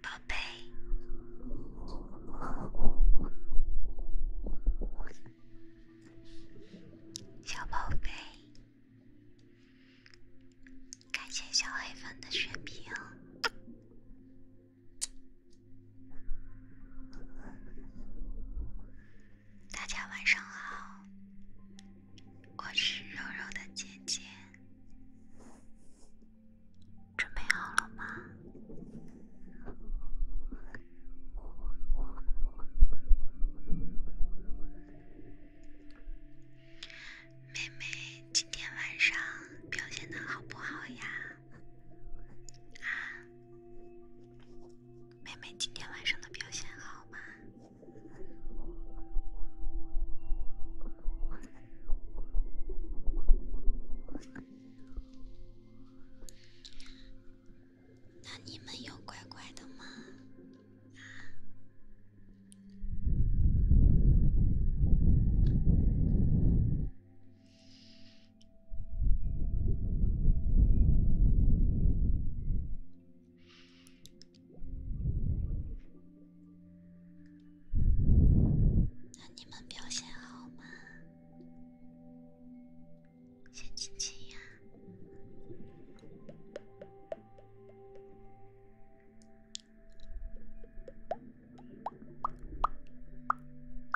宝贝，小宝贝，感谢小黑粉的血瓶。大家晚上好，我是柔柔的姐姐，准备好了吗？妹妹，今天晚上表现的好不好呀？啊？妹妹今天晚上的表现好吗？那你们又乖乖的吗？啊。那你们表现好吗？先亲亲呀。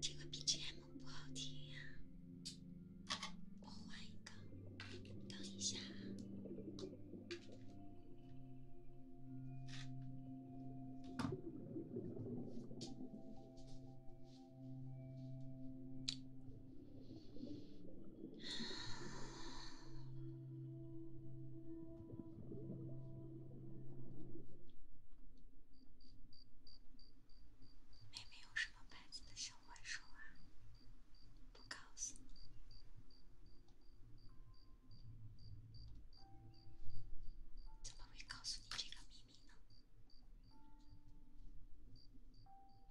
这个 BGM 不好听呀，我换一个。等一下。妹妹用什么牌子的小怪兽啊？不告诉你，怎么会告诉你这个秘密呢？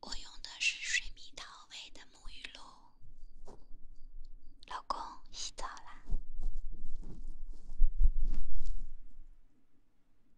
我用的是水蜜桃味的沐浴露，老公洗澡啦。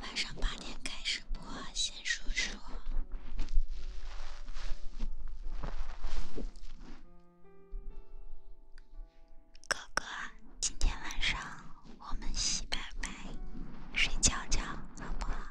晚上八点开始播，先说说。哥哥，今天晚上我们洗白白，睡觉觉，好不好？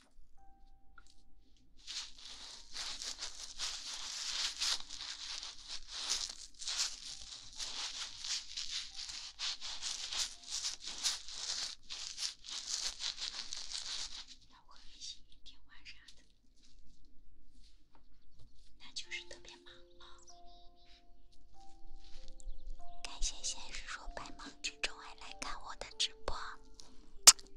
那我很开心，天晚上的，那就是特别忙了。感谢先生说百忙之中还来看我的直播。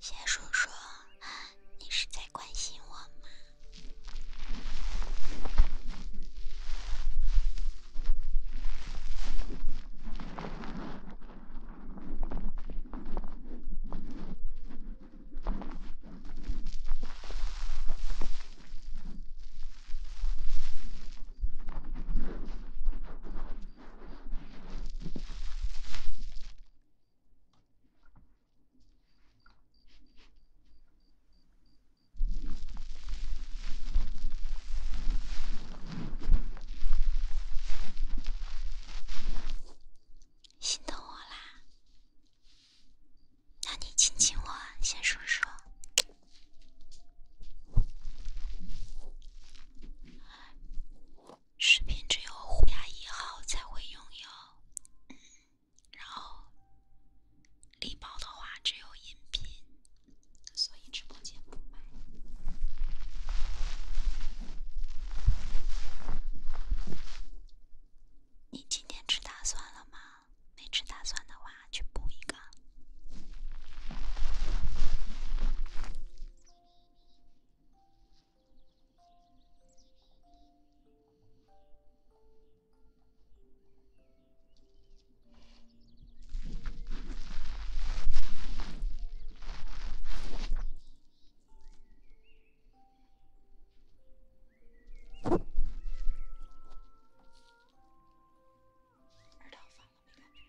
小叔叔，你是在关心我吗？心疼我啦！那你亲亲我，先说说。视频只有虎牙一号才会拥有，然后礼包的话只有音频，所以直播间不卖。你今天吃大蒜了吗？没吃大蒜的话，去补一个。耳套放了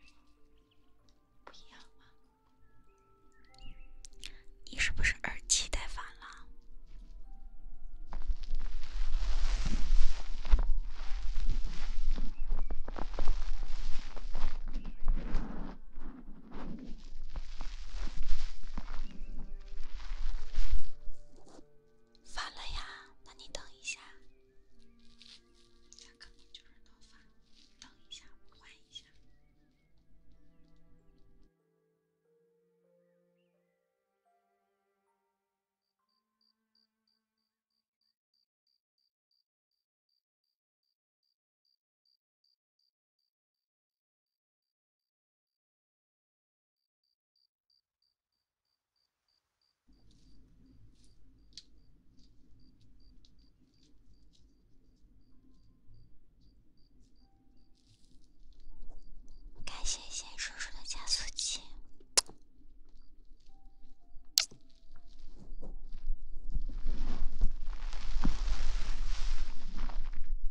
没？不一样吗？你是不是耳机戴反了？发了呀，那你等一下，它肯定就是能发。等一下，换一下。感谢贤叔叔的加速器。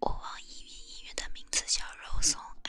我网易云音乐的名字叫肉松爱。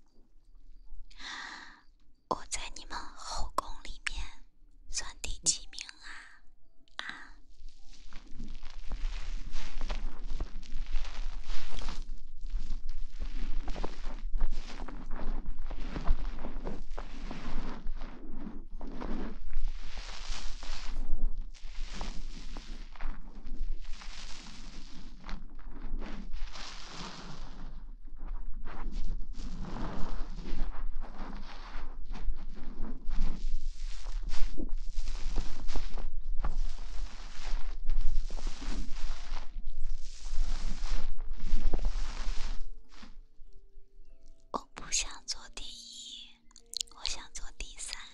我在你们后宫里面算第几名啊？啊？我不想做第一，我想做第三。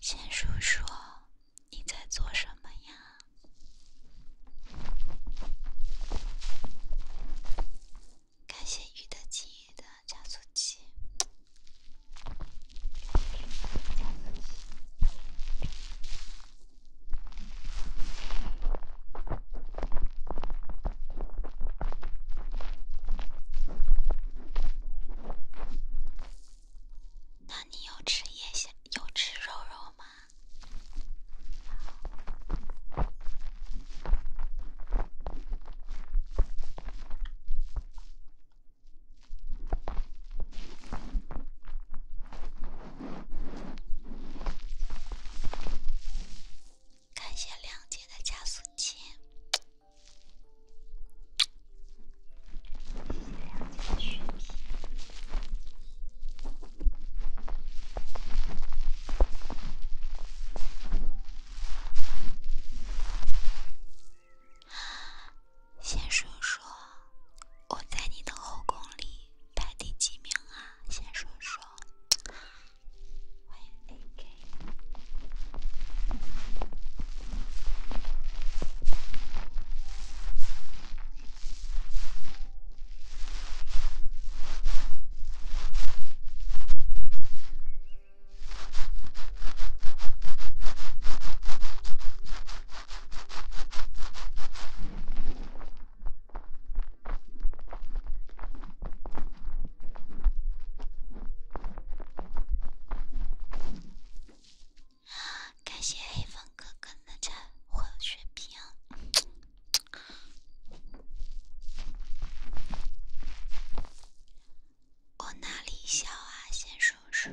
先说说你在做什么呀？感谢鱼的记忆的加速器。那你有吃夜宵，有吃肉肉吗？感谢亮姐的加速键，谢谢亮姐的续皮。先说说我在你的后宫里排第几名啊？先说说，欢迎 AK。感谢黑风哥哥的赞，加血瓶，我哪里小啊，先说说。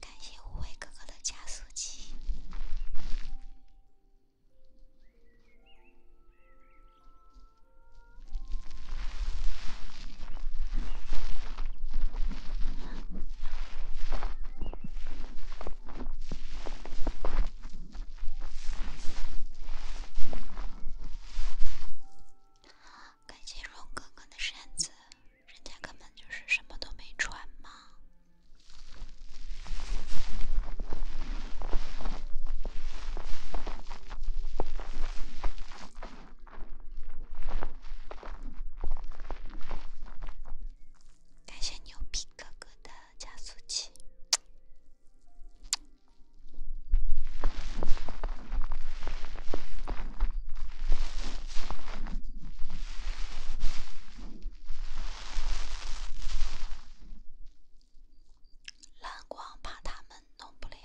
感谢无畏哥哥的加速器。感谢荣哥哥的扇子，人家根本就是什么都没穿嘛。感谢牛皮哥哥的加速器。蓝光怕他们弄不了，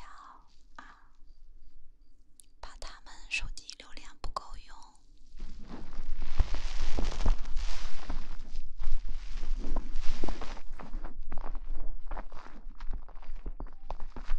怕他们手机流量不够用。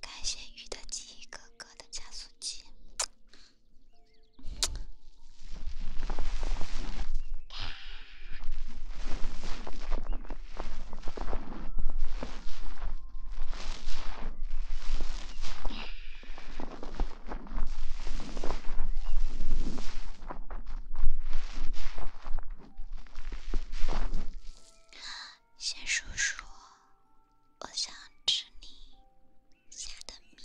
感谢鱼的记忆哥哥的加速器。先说说，我想吃你下的面。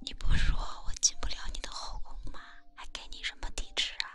你不说我进不了你的后宫吗？还给你什么地址啊？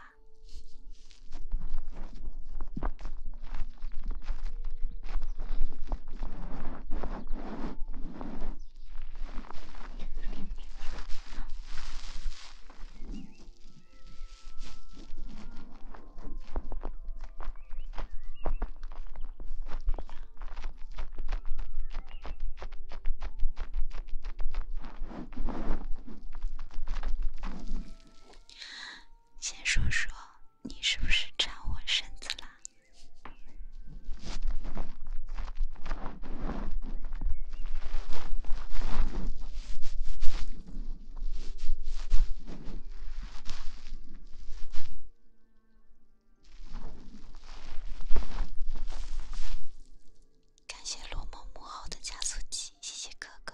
先说说，你是不是缠我身子啦？感谢落寞幕后的加速器，谢谢哥哥。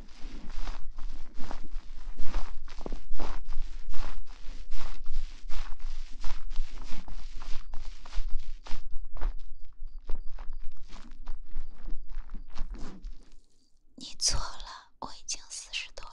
你错了，我已经四十多了。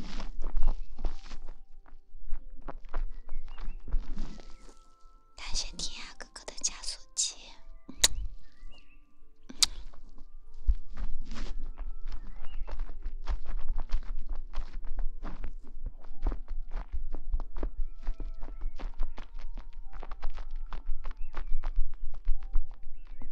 感谢天涯哥哥的加速器。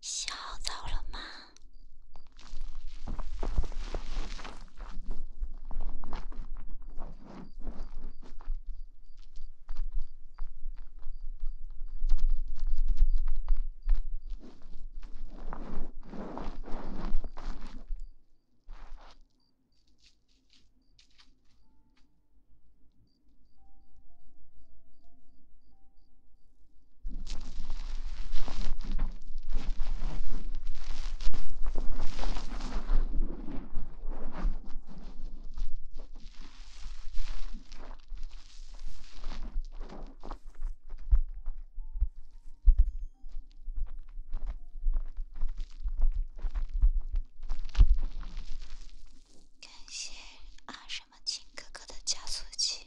洗好澡了吗？感谢阿什么情哥哥的加速器。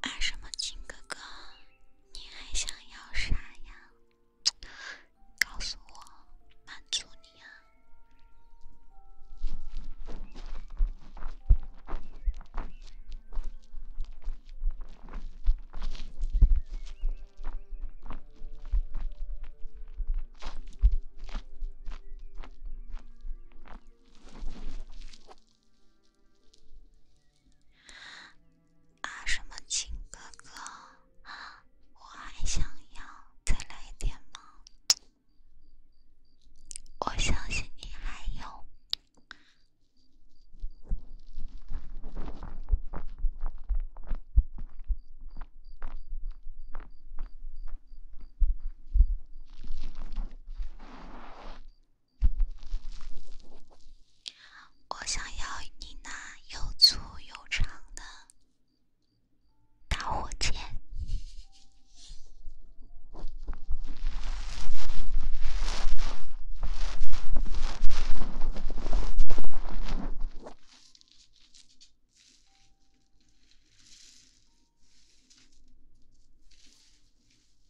啊，什么情哥哥？你还想要啥呀？告诉我，满足你啊！啊，什么亲哥哥？我还想要再来一点吗？我相信你还有。我想要你那又粗又长的打火机。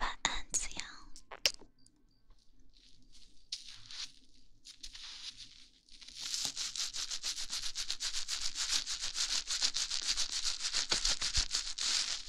晚安，子阳。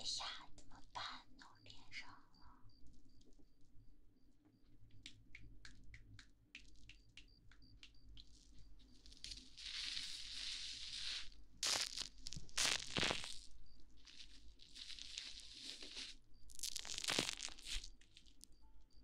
哎呀，怎么办？弄脸上了。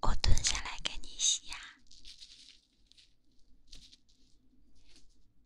我蹲下来给你洗呀。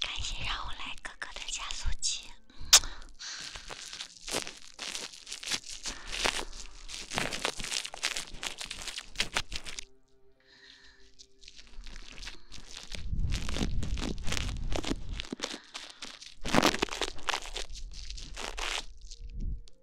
感谢让我来哥哥的加速器。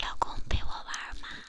老公陪我玩吗？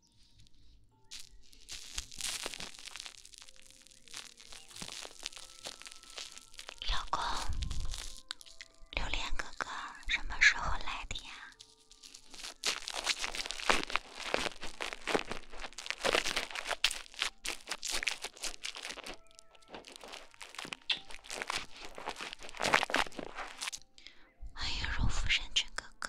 老公，榴莲哥哥什么时候来的呀？欢迎柔肤山泉哥哥。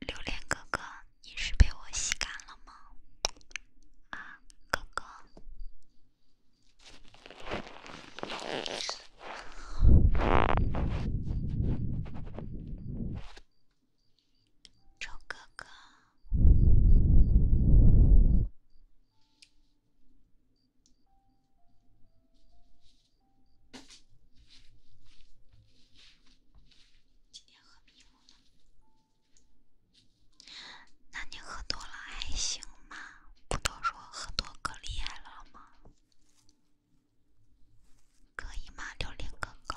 榴莲哥哥，你是被我吸干了吗？啊，哥哥，臭哥哥。那你喝多了还行吗？不都说喝多可厉害了吗？可以吗，榴莲哥哥？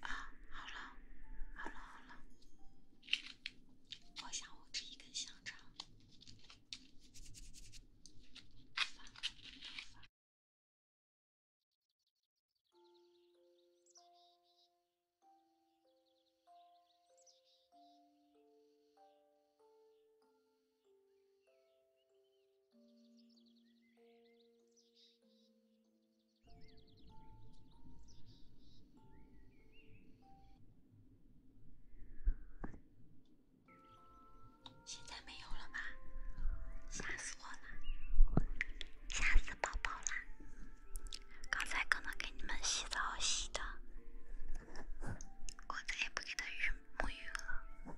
啊，好了，好了，好了，我想我吃一根香肠。现在没有了吧？吓死我了，吓死宝宝了！刚才可能给你们洗澡洗的，我再也不给他浴沐浴了。